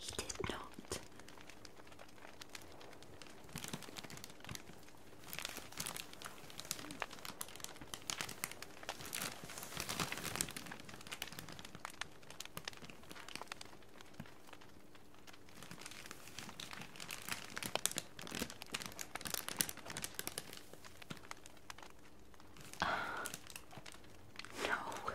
He did not uh, no.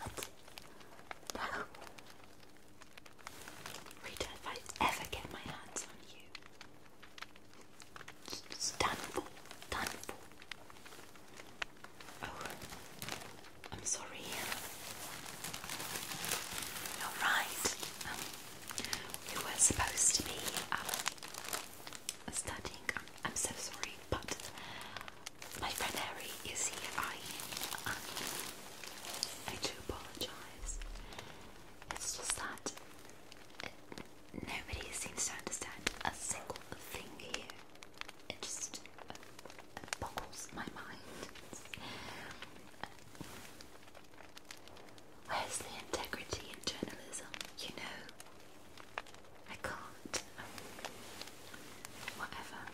What? No. Rita, I ever get my hands on you, it's for. Done for. Oh, I'm sorry. You're right. Um, we were supposed to be uh, studying. I'm so sorry, but my friend Harry is here eyeing I do apologise. It's just that nobody seems to understand a single thing here. It just boggles my mind. where's the integrity in journalism? You know, I can't. Um, whatever.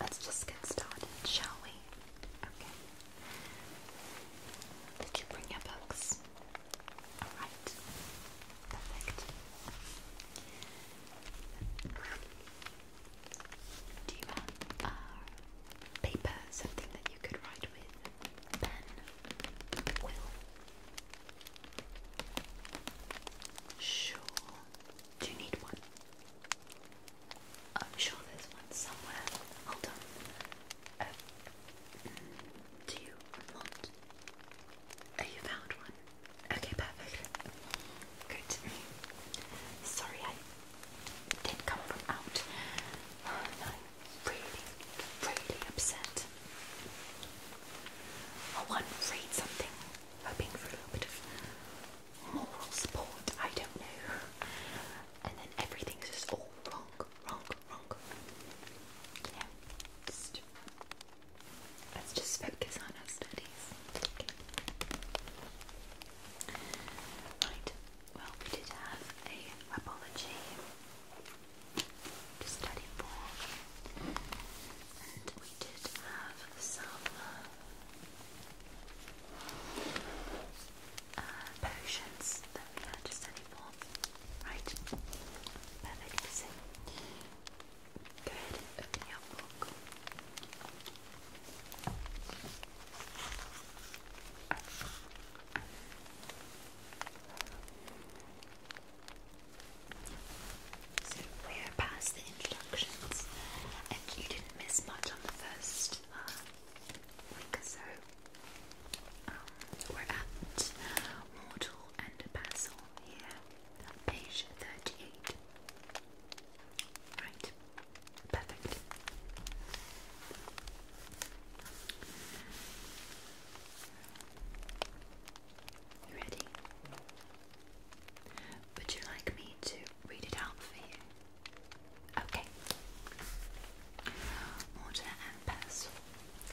Let's just get started, shall we? Okay. Did you bring your books? Alright. Perfect. Do you have uh, paper, something that you could write with? Pen? Will? Sure. Do you need one? I'm sure there's one somewhere. Hold on. Um, do you want? Oh, you found one. Okay, perfect. Good. Sorry, I did come from out. I'm really, really upset. I want to read something hoping for a little bit of moral support, I don't know. And then everything's just all wrong, wrong, wrong. You let's just focus on our studies. Okay. Right, well, we did have a apology to study for. And we did have some uh, potions that we had just any Right. Perfect. So, open your book. So we are past the introductions, and you didn't miss much on the first uh, week so. Um, we're at Mortal and Basil here, page 38. Right, perfect. ready? Would you like me to read it out for you? Okay. Mortar and pestle.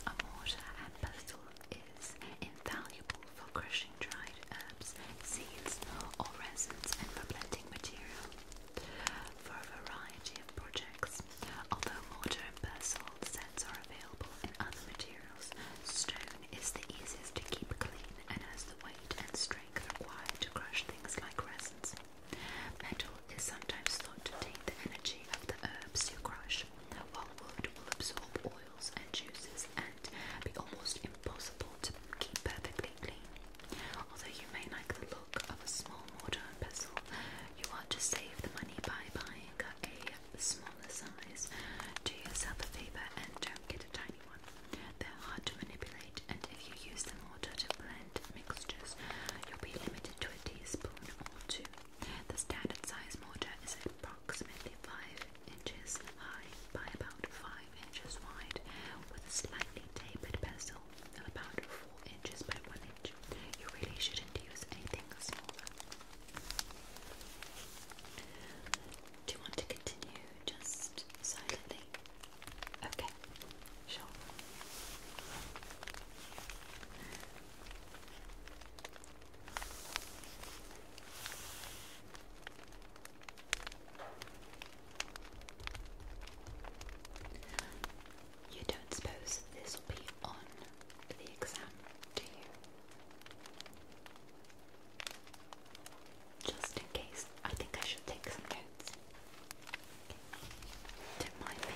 A mortar and pestle is invaluable for crushing dried herbs, seeds, or resins and for blending material for a variety of projects. Although mortar and pestle are available in other materials. Stone is the easiest to keep clean and has the weight and strength required to crush things like resins. Metal is sometimes thought to take the energy of the herbs you crush, while wood will absorb oils and juices and be almost impossible to keep perfectly clean. Although you may like the look of a small mortar and pestle, you want to save the money by buying a smaller size. Do yourself a favour and don't get a tiny one. They're hard to manipulate, and if you use the mortar to blend mixtures, you'll be limited to a teaspoon or two. The standard size mortar is approximately 5 inches high by about 5 inches wide, with a slightly tapered bezel of about 4 inches by 1 inch. You really shouldn't use anything smaller. Do you want to continue just silently? Okay, sure. You don't suppose this will be on the exam, do you? Just in case, I think I should take some notes. Don't mind me.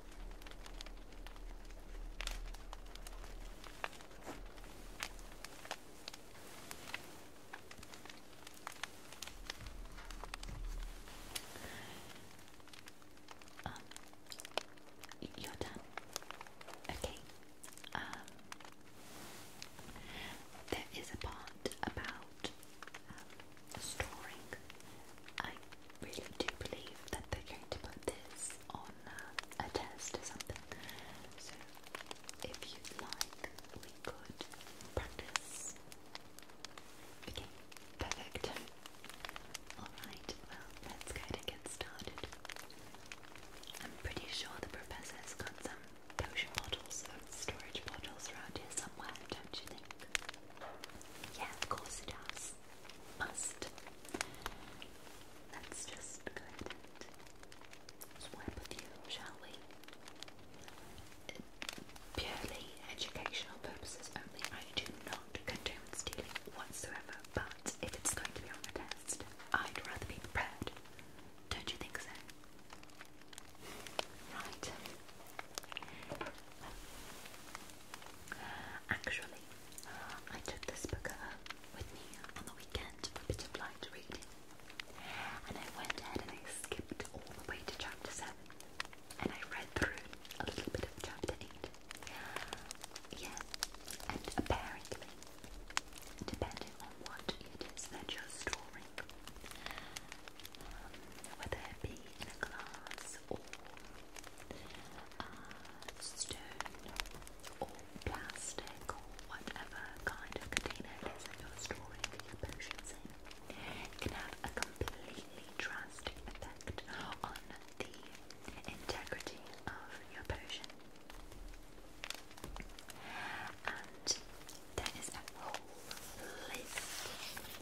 Um, you're done. Okay. Um, there is a part about um, storing really do believe that they're going to put this on uh, a test or something. So, if you'd like, we could practice. Okay, perfect. Alright, well, let's go to get started. I'm pretty sure the professor's got some potion bottles or storage bottles around here somewhere, don't you think? Yeah, of course it does must. Let's just go ahead and swipe with you, shall we? purely educational purposes only. I do not condone stealing whatsoever, but if it's going to be on the test, I'd rather be prepared. Don't you think so? Right. Actually, I took this book with me on the weekend for a bit of light reading, and I went ahead and I skipped all the way to chapter 7, and I read through a little bit of chapter 8. Yeah, and apparently, depending on what it is that you're storing, um, whether it be in a glass or uh, stone or plastic or whatever kind of container it is that you're storing your potions can have a completely drastic effect on the integrity of your potion. And there is a whole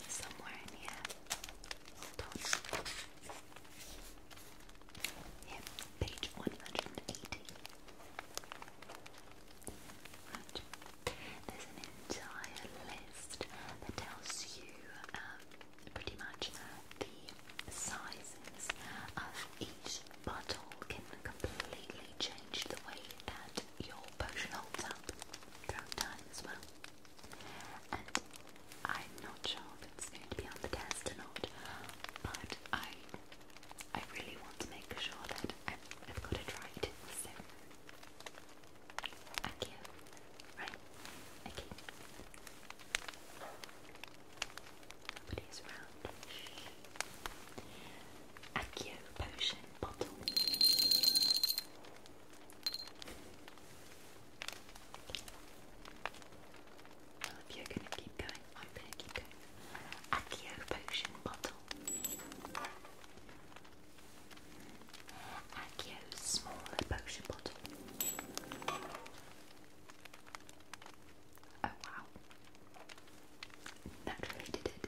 somewhere in here. Yeah, page 180. There's an entire list that tells you um, pretty much the sizes of each bottle can completely change the way that your potion holds up throughout well. I'm not sure if it's going to be on the test or not, but I I really want to make sure that I've, I've got it right. So, thank Right? Okay. Nobody's around. Accio potion bottle. Well, if going to keep going, I'm going to keep going. Accio potion bottle. Accio's smaller potion bottle. Oh wow. That did it.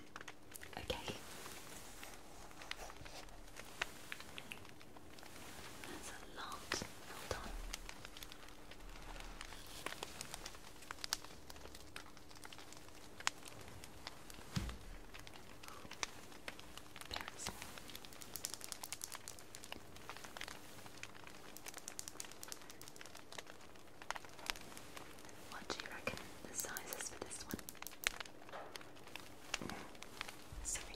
Okay. That's a lot. Hold on. What do you reckon the size is for this one? Sorry.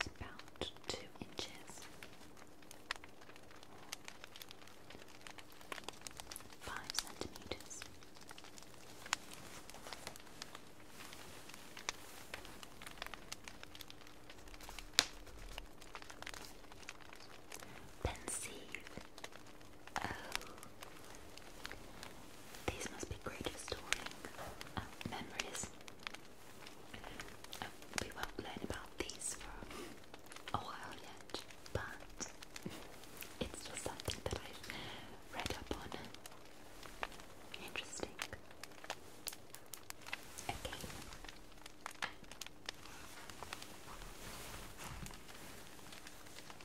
It's about two inches, five centimeters. Pensive Oh. These must be great for um, memories. Um, we won't learn about these for a while yet, but it's something that i read up on. Interesting. Okay.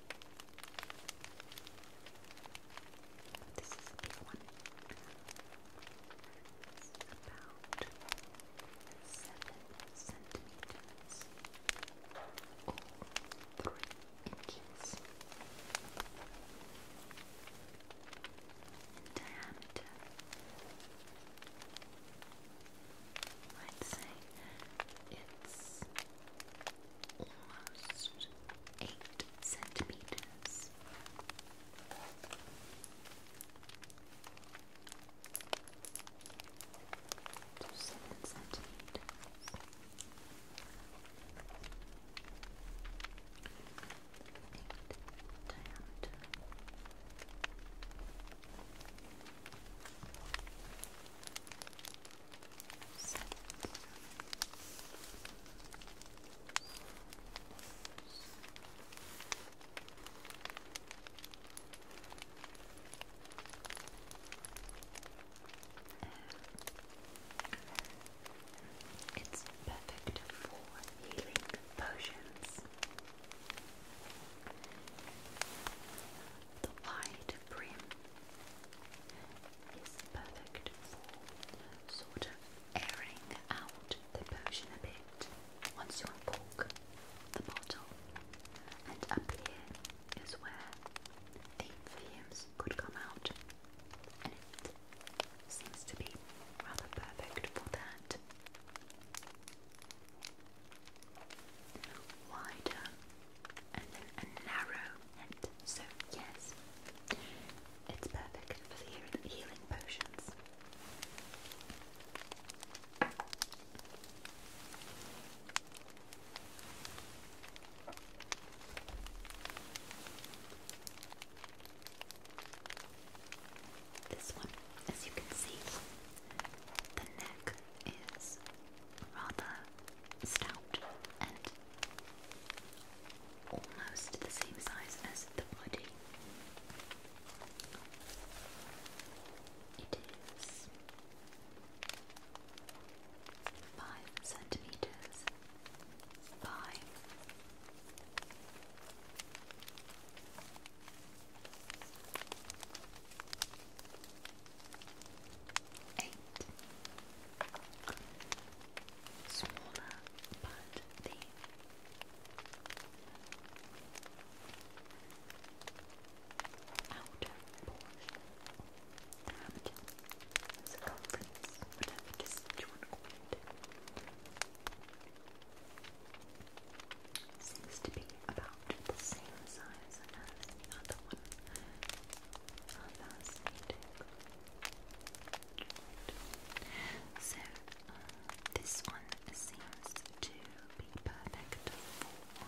But this is a seven centimeters or three inches in diameter. I'd say it's almost eight centimeters. To centimeters seven, it's perfect for healing potions. The wide brim is perfect for sort of airing out the potion a bit once you uncork the bottle. And up here is where the fumes could come out, and it seems to be rather perfect for that wider and a narrow end. So yes, it's perfect for the healing potions. This one, as you can see, the neck is rather stout and almost the same size as the body. It is five centimeters by Eight. Smaller but deep. Outer portion damage circumference, whatever you want to call it. Seems to be about the same size as the other one. That's so uh, this one seems to be perfect for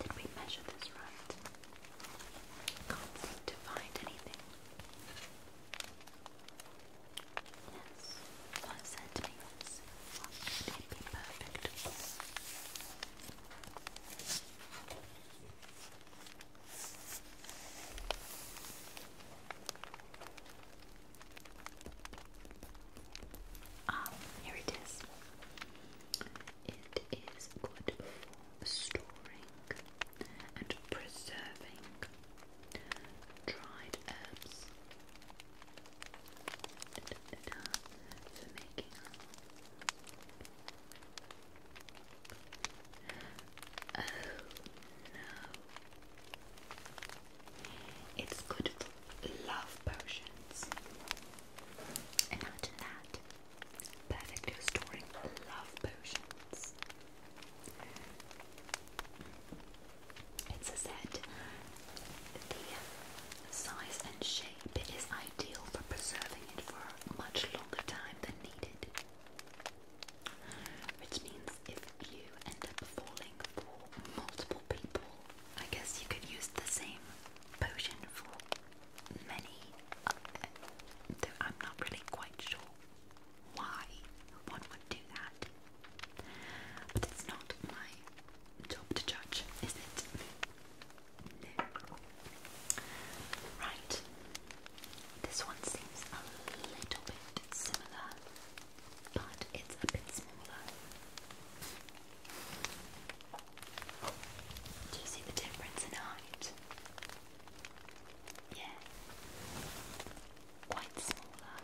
Did we measure this right? Can't seem to find anything. Yes, five centimeters. it be perfect. Ah, here it is. It is good for storing and preserving dried herbs uh, Oh no, it's good for love potions. Imagine that. Perfect for storing love potions. It said the size and shape is ideal for preserving it for much longer time than needed. Which means if you end up falling multiple people. I guess you could use the same potion for many. Uh, I'm not really quite sure why one would do that. But it's not my job to judge, is it? Right. This one seems a little bit similar but it's a bit smaller. Do you see the difference in height? Yeah, quite smaller.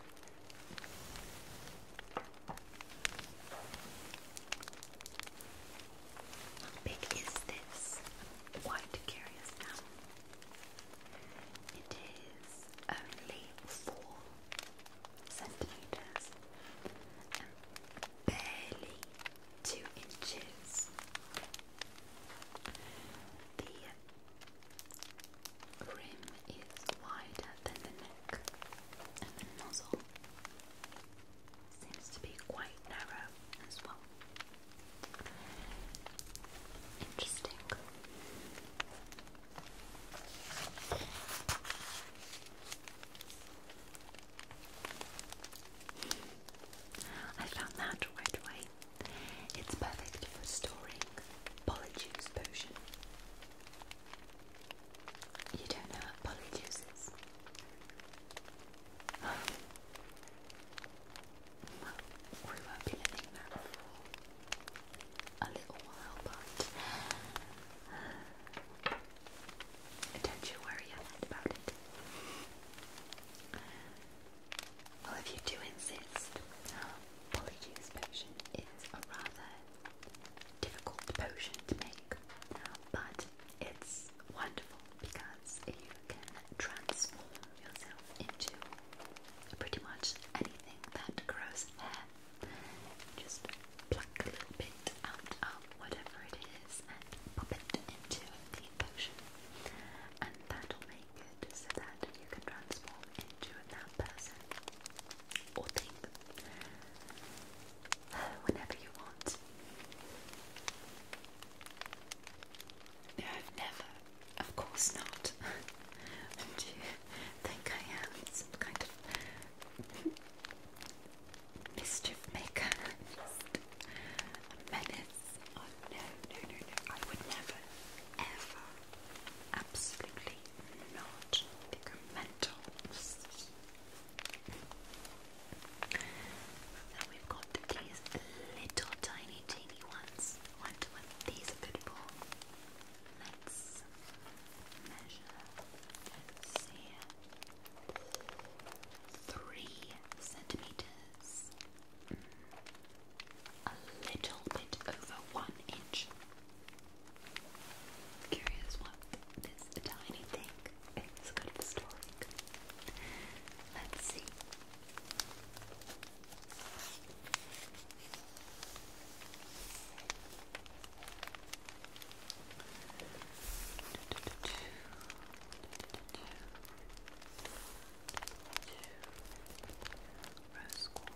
How big is this? quite curious now. It is only four centimeters and barely two inches. The rim is wider than the neck, and the nozzle seems to be quite narrow as well. Interesting. I found that right away. It's perfect for storing polyjuice potion. You don't know what polyjuice is? Well, we won't be living that a little while, but don't you worry about it. Well, if you do insist, Polyjuice potion is a rather difficult potion to make, but it's wonderful because you can transform yourself into pretty much anything that grows hair. Just pluck a little bit out um, of whatever it is and pop it into the potion, and that'll make it so that you can transform into that person or thing whenever you want. No, never. Of course not. you? think I am some kind of mischief maker. a menace. Oh, no, no, no, no. I would never, ever, absolutely not become mental. Now we've got these little tiny, teeny ones. One to These good for Let's measure and see. Three centimeters. A little bit over one inch. Curious what this tiny thing is good for storing. Let's see. Rose quartz.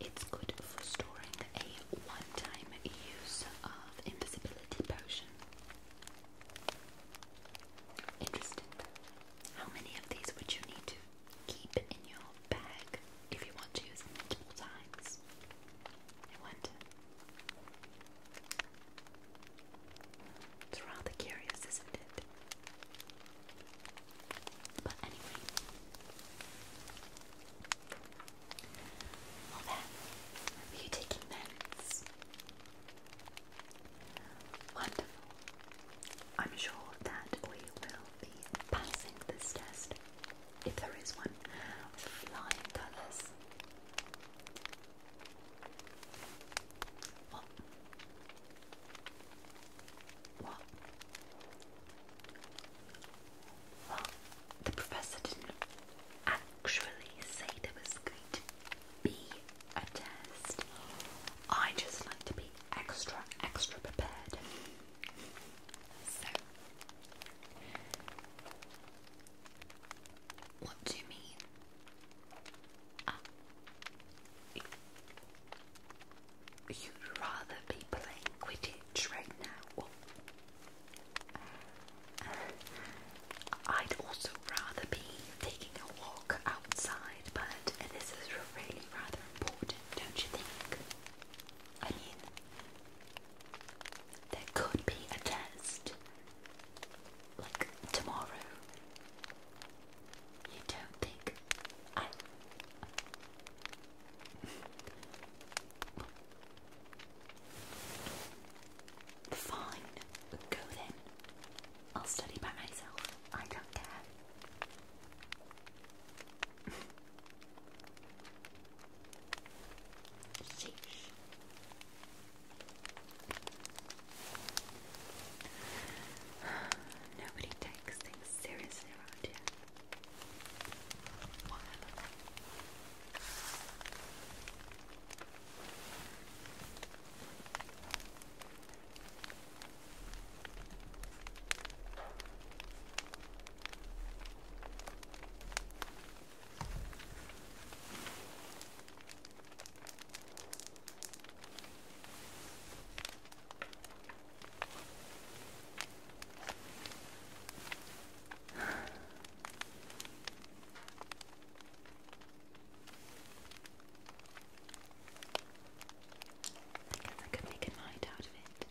It's good for storing a one-time use of invisibility potion. Interesting. How many of these would you need to keep in your bag if you want to use them multiple times? I it's rather curious, isn't it? But anyway. Well then, are you taking notes? Wonderful. I'm sure that we will be passing this test, if there is one, flying colours. What? the professor didn't actually say there was going to be a test. I just like to be extra, extra prepared. So, what do you mean you'd rather be playing Quidditch right now. I'd also rather be taking a walk outside, but this is really rather important, don't you think? I mean, there could be a test like tomorrow. You don't think I. Fine, go then. I'll study by myself. I don't care. Sheesh. Nobody takes things seriously around I guess I could make a night out of it.